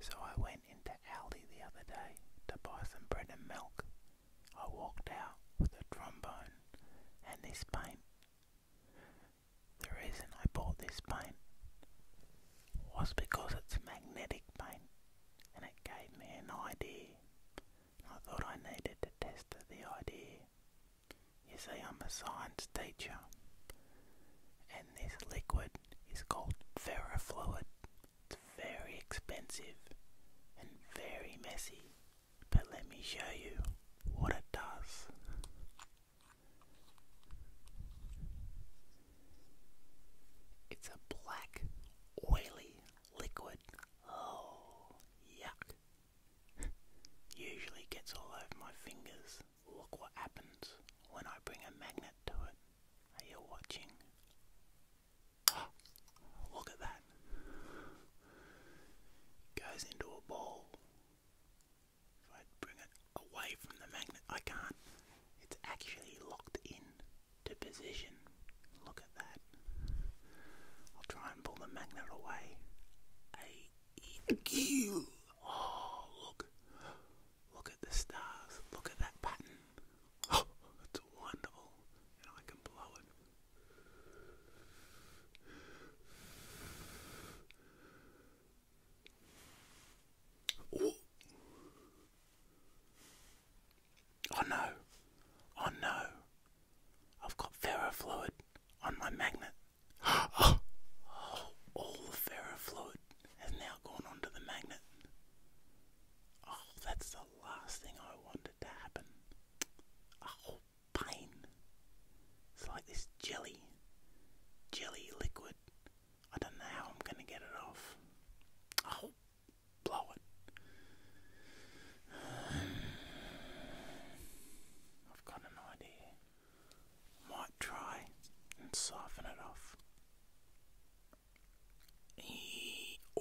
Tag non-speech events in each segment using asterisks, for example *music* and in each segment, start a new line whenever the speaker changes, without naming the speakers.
So I went into Aldi the other day to buy some bread and milk. I walked out with a trombone and this pain. The reason I bought this paint was because it's magnetic paint and it gave me an idea. I thought I needed to test the idea. You see, I'm a science teacher this liquid is called ferrofluid. It's very expensive and very messy, but let me show you what it does. It's a black, oily liquid. Oh, yuck. *laughs* Usually gets all over my fingers. Look what happens when I bring a magnet to it. Are you watching? *gasps* look at that. It goes into a ball. If I bring it away from the magnet, I can't. It's actually locked in to position. Look at that. I'll try and pull the magnet away. Hey, EQ. Oh, look. Look at the stars. Look at that pattern. *gasps* it's wonderful. And I can blow it. Oh, oh no. Oh no. I've got ferrofluid on my magnet. Oh, *gasps* all the ferrofluid has now gone onto the magnet. Oh, that's the last thing I wanted to happen. Oh, pain. It's like this jelly, jelly liquid. I don't know how I'm going to get it off. Oh, blow it. *sighs* I've got an idea might try and soften it off.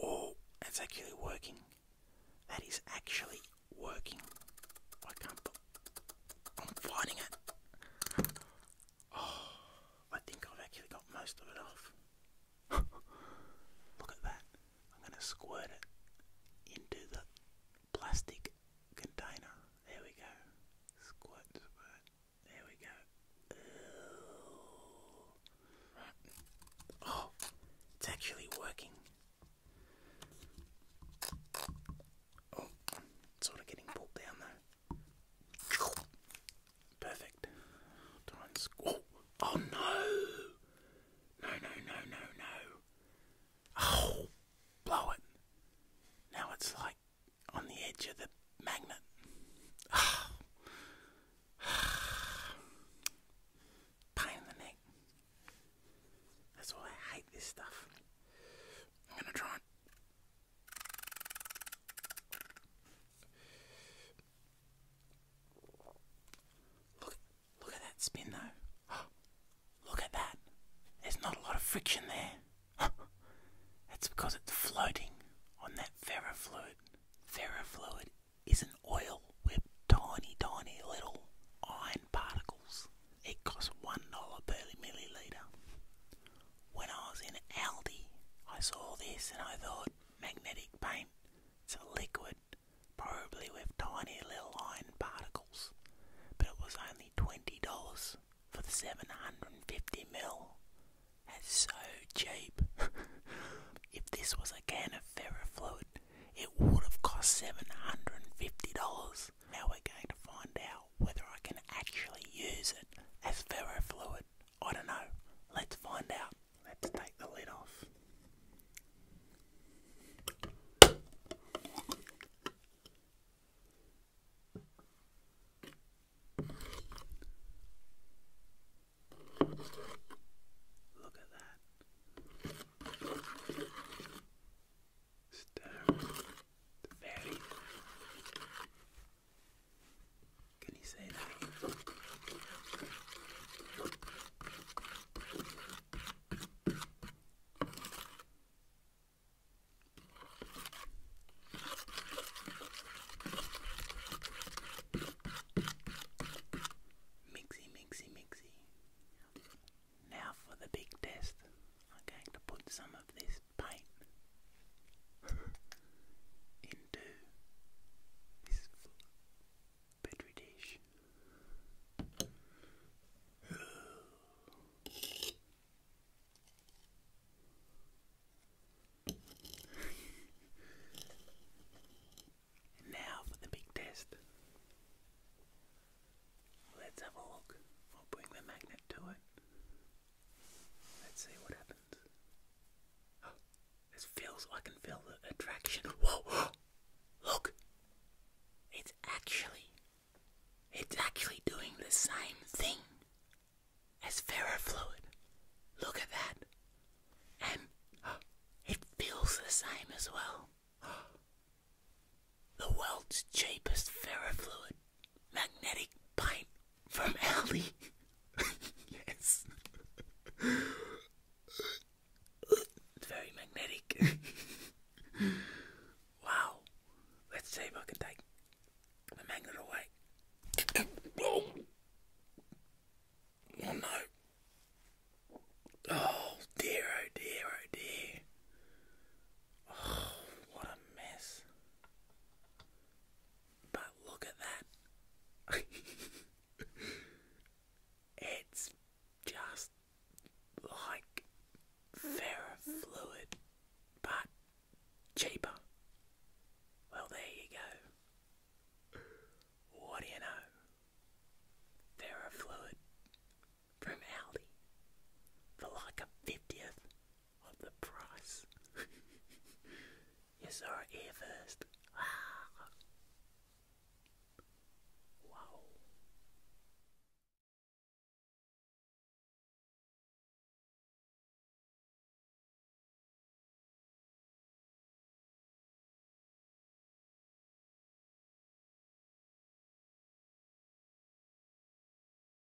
oh, it's actually working. That is actually working. I can't. I'm finding it. Oh, I think I've actually got most of it off. *laughs* Look at that. I'm going to squirt it into the plastic container. There we go. Squat, There we go. Oh, it's actually working. Oh, it's sort of getting pulled down though. Perfect. Try squat. Oh No, no, no, no, no. Oh, *sighs* blow it. Now it's like on the edge of the magnet. *sighs* Pain in the neck. That's why I hate this stuff. I'm gonna try Look, Look at that spin though. *gasps* Look at that. There's not a lot of friction there. *gasps* That's because it's floating on that ferrofluid. Ferrofluid is an oil with tiny, tiny little iron particles. It costs $1 per milliliter. When I was in Aldi, I saw this and I thought magnetic paint. It's a liquid probably with tiny little iron particles, but it was only $20 for the 750ml. That's so cheap. *laughs* if this was a can of ferrofluid, it would have cost $750. Now we're going to find out whether I can actually use it as ferrofluid. I don't know. Let's find out. Let's take the lid off. Look at that. Stir very can you say that? Mixy, mixy, mixy. Now for the big test. I'm going to put some of this paint *laughs* *laughs* now for the big test. Let's have a look. I'll bring the magnet to it. Let's see what happens. This feels, I can feel the attraction. *gasps* Whoa! *gasps* Look! It's actually, it's actually doing the same thing as ferrofluid. Look at that. And *gasps* it feels the same as well. The world's cheapest ferrofluid magnetic paint from Ellie. *laughs* yes. It's very magnetic. *laughs* wow. Let's see if I can take the magnet away. oh. no. Oh dear, oh dear, oh dear. Oh, what a mess. But look at that. *laughs* it's just like Ferrofluid, but cheaper. Well, there you go. What do you know? Ferrofluid from Aldi for like a 50th of the price. you saw it here first. Ah. Wow.